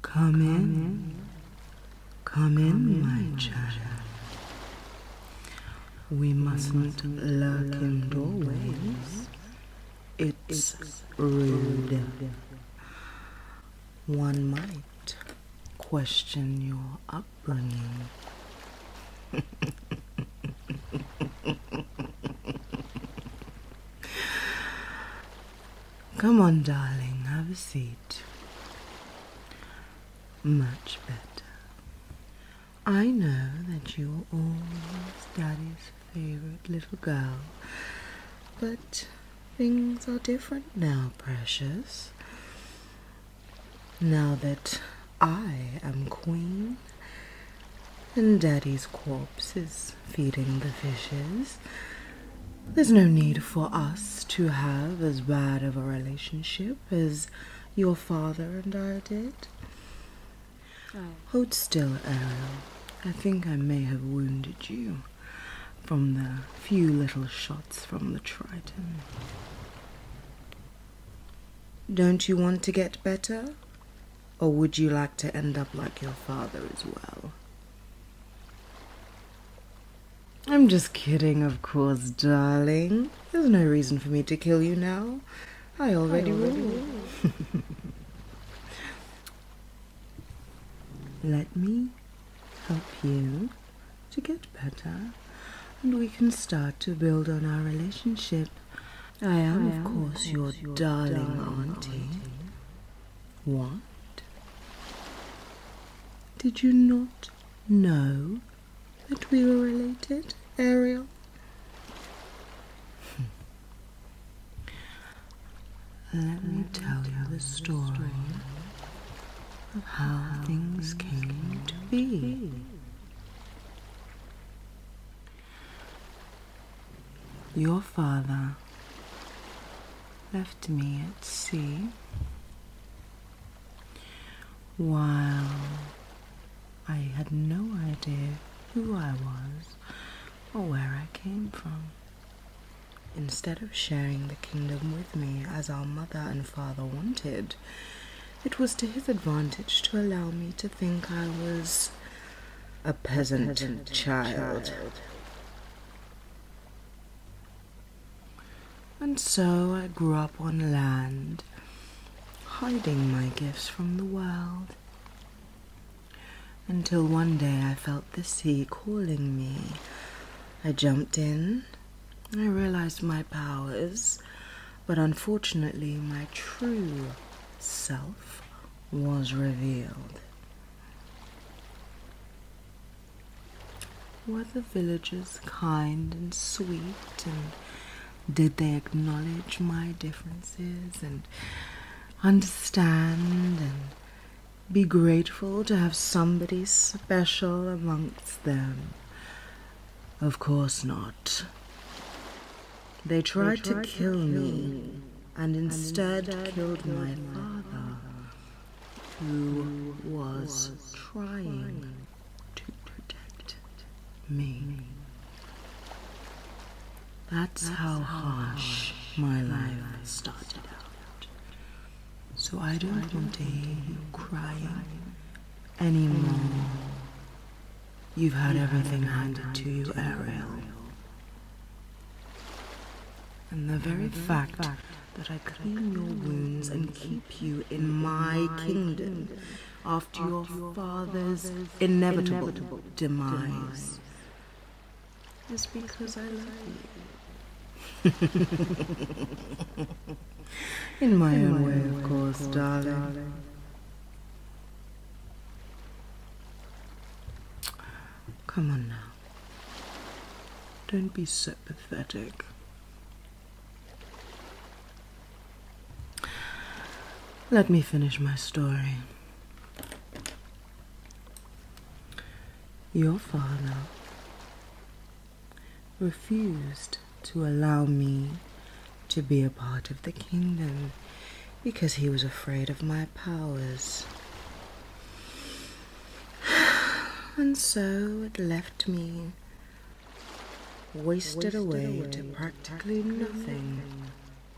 Come in. Come in, my child. We mustn't lurk in doorways. It's rude. One might question your upbringing. Come on, darling, have a seat. Much better. I know that you are always Daddy's favorite little girl, but things are different now, precious. Now that I am queen and Daddy's corpse is feeding the fishes. There's no need for us to have as bad of a relationship as your father and I did. Oh. Hold still, Ariel. I think I may have wounded you from the few little shots from the Triton. Don't you want to get better? Or would you like to end up like your father as well? I'm just kidding, of course, darling. There's no reason for me to kill you now. I already, will. Let me help you to get better, and we can start to build on our relationship. I am, of course, your, darling, auntie. What? Did you not know that we were related, Ariel? Hmm. Let me tell you the story of how things came to be. Your father left me at sea while I had no idea who I was or where I came from. Instead of sharing the kingdom with me as our mother and father wanted, it was to his advantage to allow me to think I was a peasant, child. child. And so I grew up on land, hiding my gifts from the world, until one day I felt the sea calling me. I jumped in, I realized my powers, but unfortunately, my true self was revealed. Were the villagers kind and sweet, and did they acknowledge my differences and understand and be grateful to have somebody special amongst them? Of course not. They tried, to, kill me, and instead, and killed, my father, who was trying to protect me. That's, how harsh my life started out. So I don't want hear you crying anymore. You've had everything handed to you, Ariel. And the very, fact, fact that I clean your wounds and keep you in my kingdom after your father's inevitable demise is because I love you. in my own way, of course, darling. Come on now. Don't be so pathetic. Let me finish my story. Your father refused to allow me to be a part of the kingdom because he was afraid of my powers. And so it left me wasted, away, to practically nothing,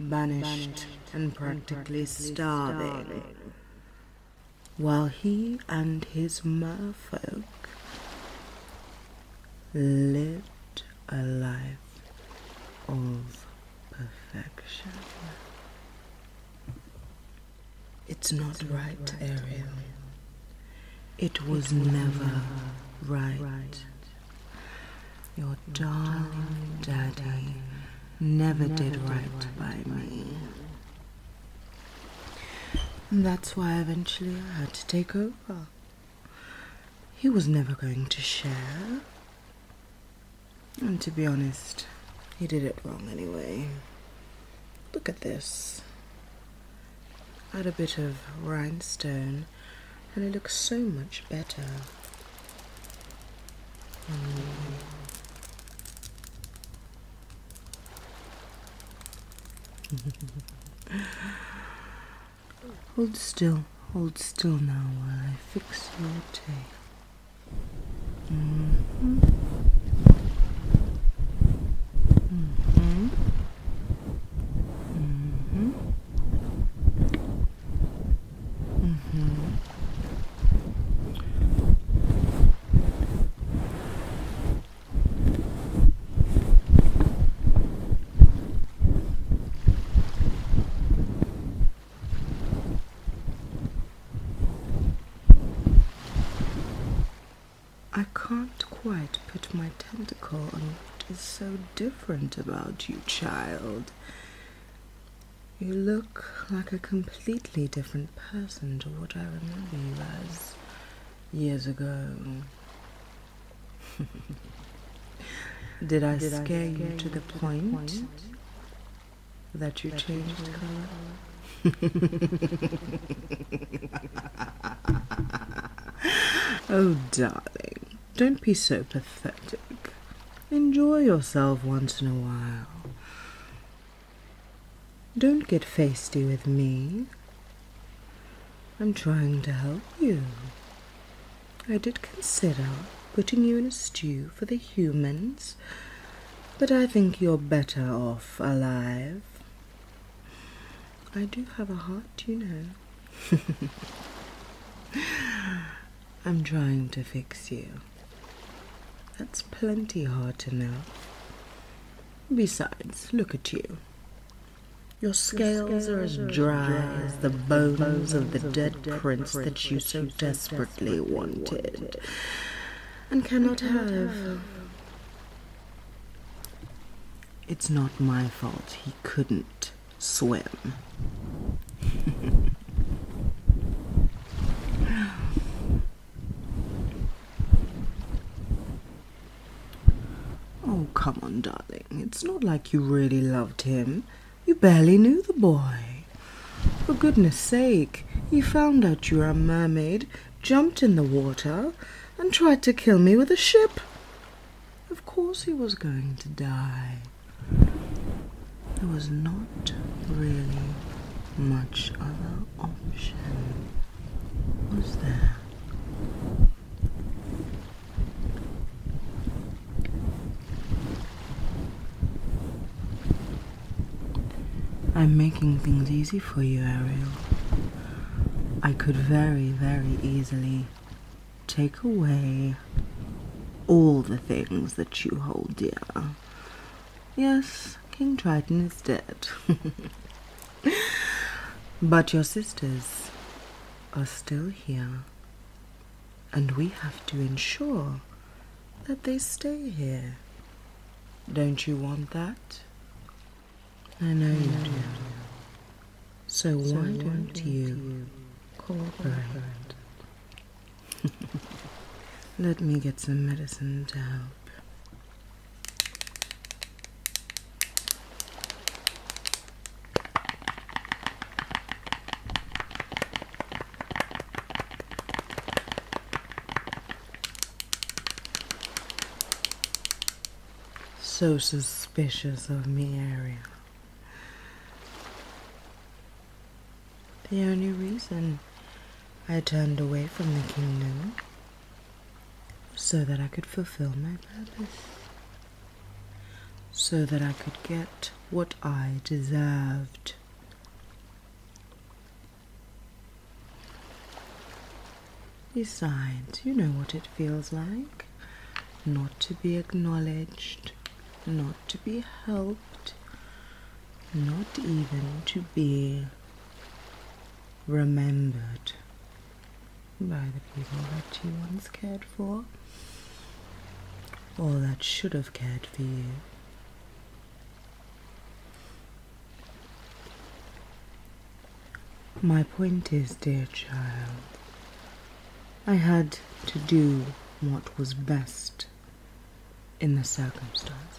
banished, and practically, starving. starving. While he and his merfolk lived a life of perfection. It's not right, Ariel. It was, never, right. Your darling daddy never, did right, right by me. And that's why eventually I had to take over he was never going to share. And to be honest, he did it wrong anyway. Look at this. Add a bit of rhinestone and it looks so much better. Hold still, hold still now while I fix your tail. I can't quite put my tentacle on what is so different about you, child. You look like a completely different person to what I remember you as years ago. Did I scare you to the point, point that you changed color? oh, darling, don't be so pathetic. Enjoy yourself once in a while. Don't get feisty with me. I'm trying to help you. I did consider putting you in a stew for the humans, but I think you're better off alive. I do have a heart, you know. I'm trying to fix you. That's plenty hard enough. Besides, look at you. Your scales are as dry as the bones of the dead prince that you so desperately wanted and cannot have. It's not my fault he couldn't swim. Oh, come on, darling. It's not like you really loved him. You barely knew the boy. For goodness sake, you found out you were a mermaid, jumped in the water, and tried to kill me with a ship. Of course he was going to die. There was not really much other option, was there? I'm making things easy for you, Ariel. I could very, very easily take away all the things that you hold dear. Yes, King Triton is dead. but your sisters, are still here, and we have to ensure that they stay here. Don't you want that? I know you do. So, so why, don't, you, you cooperate? Let me get some medicine to help. So suspicious of me, Ariel. The only reason I turned away from the kingdom so that I could fulfill my purpose so that I could get what I deserved. Besides, you know what it feels like not to be acknowledged, not to be helped, not even to be remembered by the people that you once cared for, or that should have cared for you. My point is, dear child, I had to do what was best in the circumstances.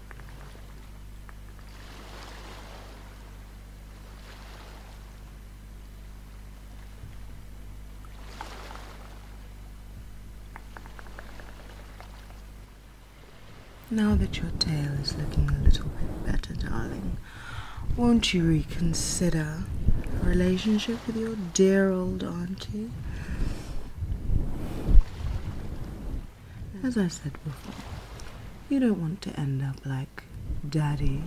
Now that your tail is looking a little bit better, darling, won't you reconsider your relationship with your dear old auntie? as I said before, you don't want to end up like daddy.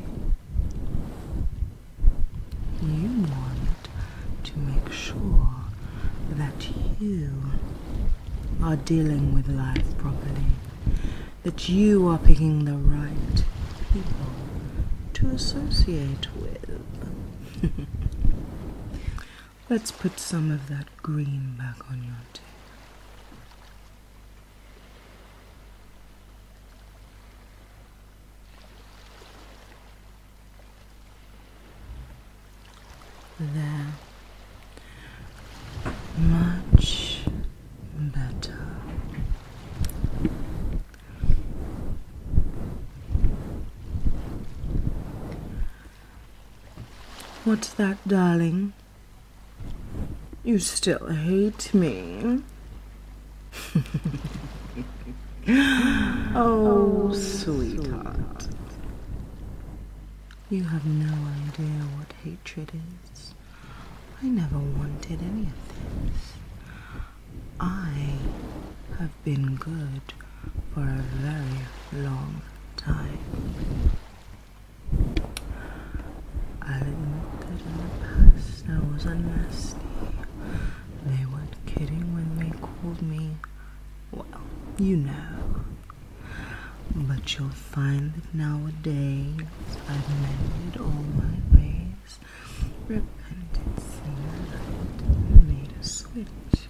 You want to make sure that you are dealing with life properly, that you are picking the right people to associate with. Let's put some of that green back on your tip. There. Much better. What's that, darling? You still hate me. oh, oh, sweetheart. You have no idea what hatred is. I never wanted any of this. I have been good for a very long time. I admit that in the past I was a unmasty. They weren't kidding when they called me, well, you know. But you'll find that nowadays I've mended all my ways, repented, seen and made a switch.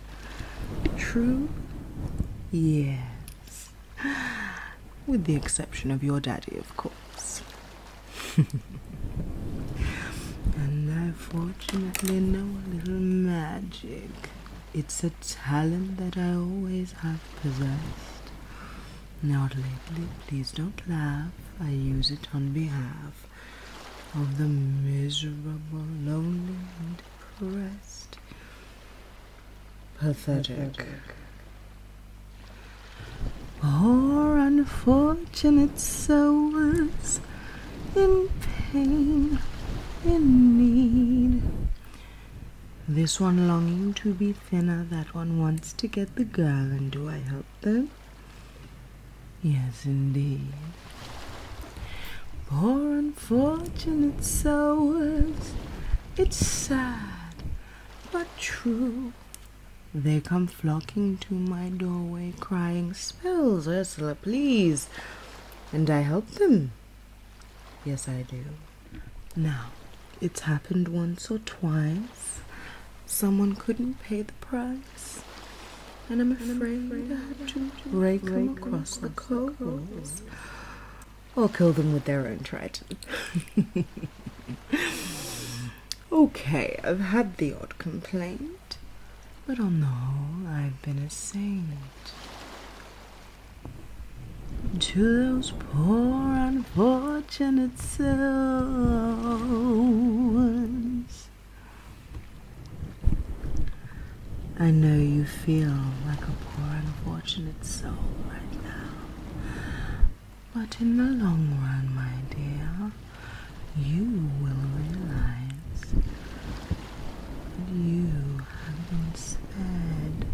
True? Yes. With the exception of your daddy, of course. and I fortunately know a little magic. It's a talent that I always have possessed. Not lately, please don't laugh. I use it on behalf of the miserable, lonely, and depressed. Pathetic. Pathetic. Poor unfortunate souls in pain, in need. This one longing to be thinner, that one wants to get the girl, and do I help them? Yes, indeed. For unfortunate souls, it's sad but true. They come flocking to my doorway, crying, Spells, Ursula, please. And I help them. Yes, I do. Now, it's happened once or twice. Someone couldn't pay the price. And I'm afraid, to rake them across the coals, or kill them with their own trident. okay, I've had the odd complaint, but on the whole, I've been a saint. To those poor unfortunate souls I know you feel like a poor unfortunate soul right now. But in the long run, my dear, you will realize that you have been spared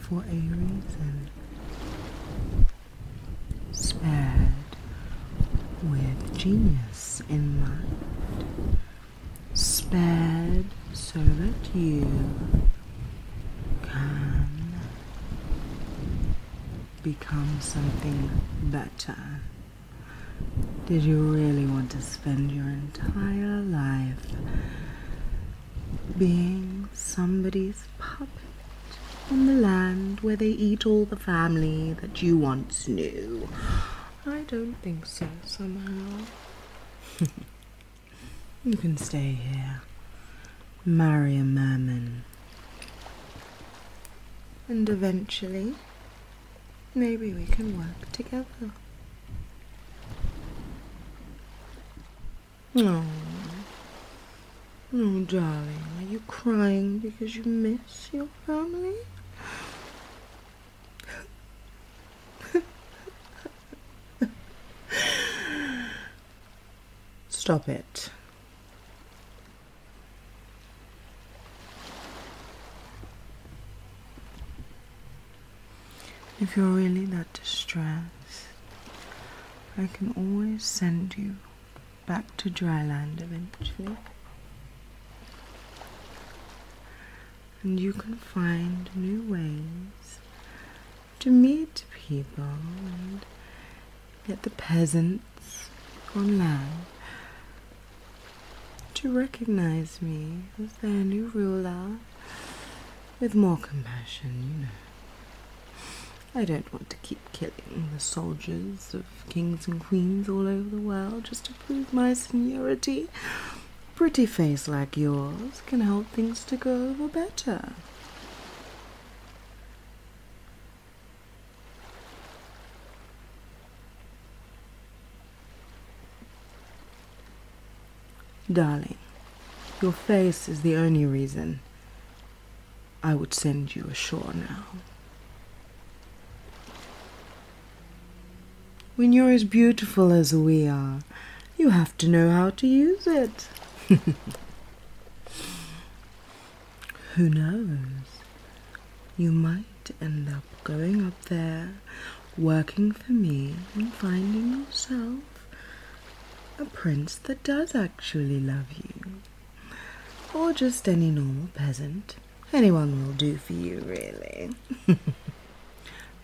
for a reason. Spared with genius in mind spared so that you can become something better. Did you really want to spend your entire life being somebody's puppet on the land where they eat all the family that you once knew? I don't think so, somehow. you can stay here. Marry a merman. And eventually, maybe we can work together. No, oh. oh, darling, are you crying because you miss your family? Stop it. If you're really that distressed, I can always send you back to dry land eventually and you can find new ways to meet people and get the peasants on land to recognize me as their new ruler with more compassion, you know. I don't want to keep killing the soldiers kings and queens all over the world just to prove my seniority. A pretty face like yours can help things to go over better. Darling, your face is the only reason I would send you ashore now. When you're as beautiful as we are, you have to know how to use it. Who knows? You might end up going up there, working for me, and finding yourself a prince that does actually love you, or just any normal peasant anyone will do for you, really.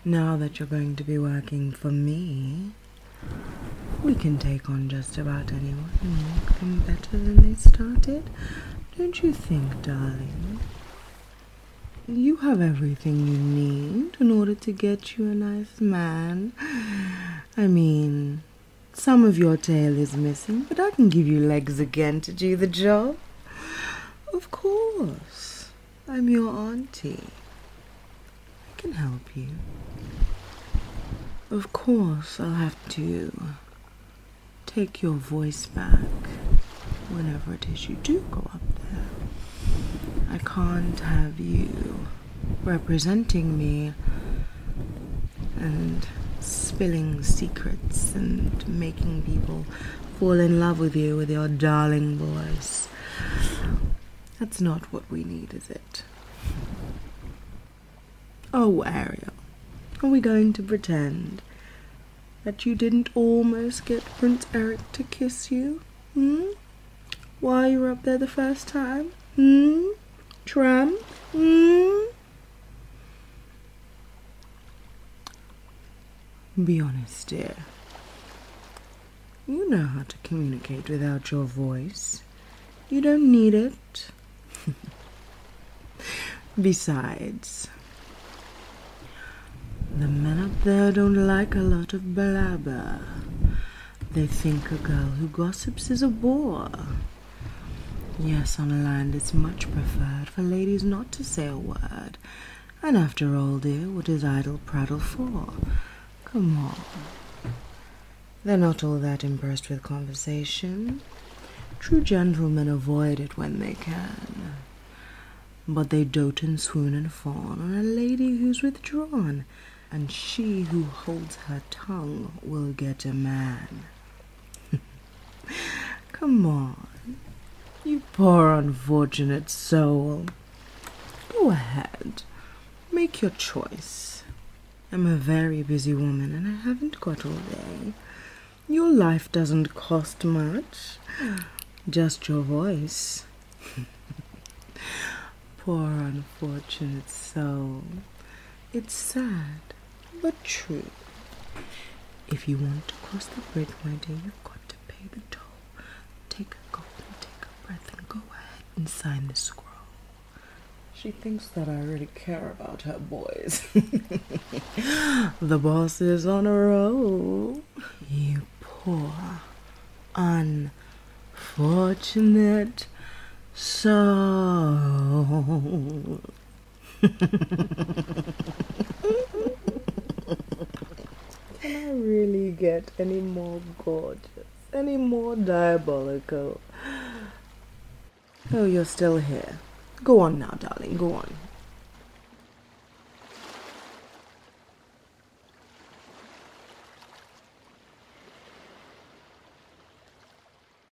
now that you're going to be working for me, we can take on just about anyone and make them better than they started. Don't you think, darling? You have everything you need in order to get you a nice man. I mean, some of your tail is missing, but I can give you legs again to do the job. Of course, I'm your auntie. I can help you. Of course, I'll have to take your voice back whenever it is you do go up there. I can't have you representing me and spilling secrets and making people fall in love with you with your darling voice. That's not what we need, is it? Oh, Ariel, are we going to pretend that you didn't almost get Prince Eric to kiss you? Hmm? While you were up there the first time? Hmm? Be honest, dear. You know how to communicate without your voice. You don't need it. Besides, the men up there don't like a lot of blabber. They think a girl who gossips is a bore. Yes, on land it's much preferred for ladies not to say a word. And after all, dear, what is idle prattle for? Come on. They're not all that impressed with conversation. True gentlemen avoid it when they can. But they dote and swoon and fawn on a lady who's withdrawn, and she who holds her tongue will get a man. Come on, you poor unfortunate soul. Go ahead, make your choice. I'm a very busy woman and I haven't got all day. Your life doesn't cost much, just your voice. Poor unfortunate soul. It's sad, but true. If you want to cross the bridge, my dear, you've got to pay the toll. Take a gulp and take a breath and go ahead and sign the scroll. She thinks that I really care about her boys. the boss is on a roll. You poor, unfortunate soul. Can I really get any more gorgeous, any more diabolical? Oh, you're still here. Go on now, darling, go on.